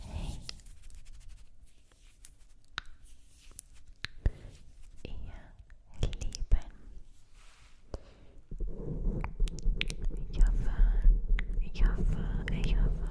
Hey. Ihr Lieben. Ich hoffe, ich hoffe, ich hoffe.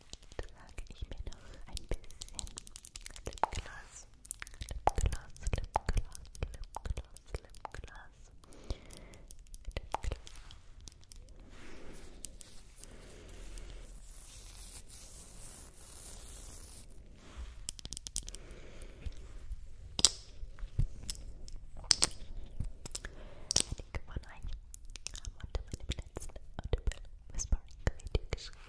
trage ich mir noch ein bisschen Lipgloss, Lipgloss, Lipgloss, Lipgloss, Lipgloss, Lipgloss. Einige von euch haben unter meinem letzten Audible Whispering Video geschrieben,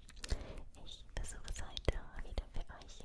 Ich versuche es heute wieder für euch.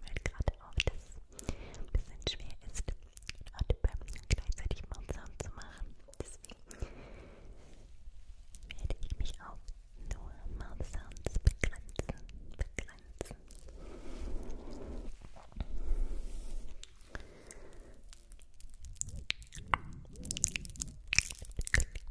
fällt gerade auf, dass es ein bisschen schwer ist, und gleichzeitig Mundsound zu machen. Deswegen werde ich mich auf nur Mouthsounds begrenzen. Begrenzen. Gut,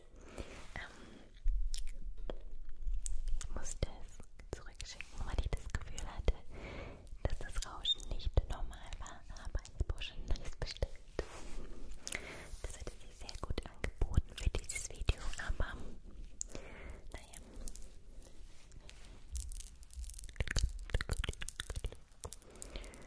gut. Ähm, ich musste es zurückschicken, weil ich das Gefühl hatte, dass das Rauschen nicht normal war, aber ich habe schon alles bestellt. Das hätte sich sehr gut angeboten für dieses Video, aber naja.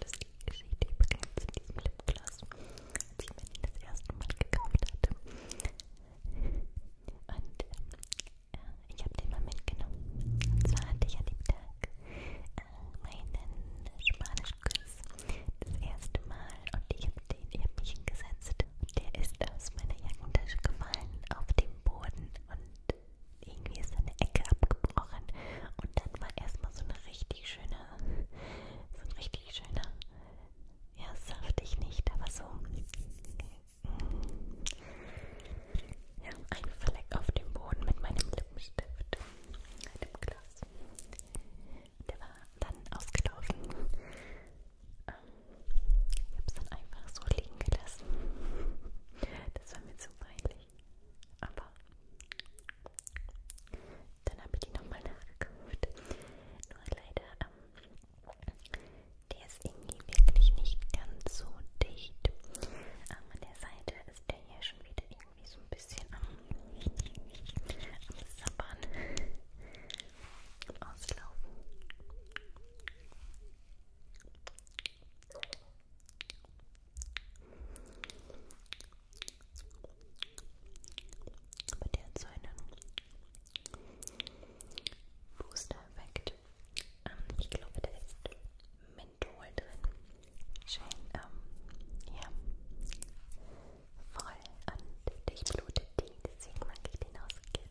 Lustige Geschichte übrigens in diesem Lipgloss. Als ich mir den das erste Mal gekauft hatte. Und äh, ich habe den mal mitgenommen. Und zwar hatte ich an dem Tag äh, meinen Spanischkurs das erste Mal. Und ich habe den, ich habe mich hingesetzt. Und der ist aus meiner Jackentasche gefallen auf dem Boden. Und irgendwie ist eine Ecke abgebrochen. Und dann war erstmal so eine richtig schöne so ein richtig schöner, ja, saftig nicht, aber so mm. ja, ein Fleck auf dem Boden mit meinem Lippenstift, dem Glas. Der war dann ausgelaufen. Ähm, ich habe es dann einfach so liegen gelassen. Das war mir zu peinlich. Aber dann habe ich die nochmal nachgekauft. Nur leider, ähm, der ist irgendwie wirklich nicht ganz so dicht. Ähm, an der Seite ist der hier schon wieder irgendwie so ein bisschen am, am Sabbern, am Auslaufen. Aber der hat so einen Booster-Effekt. Ähm, ich glaube, da ist Menthol drin. Schön, ähm, ja, voll und durchblutet die, deswegen mag ich den ausgehen.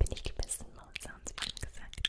Bin ich gebissen, Maus, haben sie mir gesagt.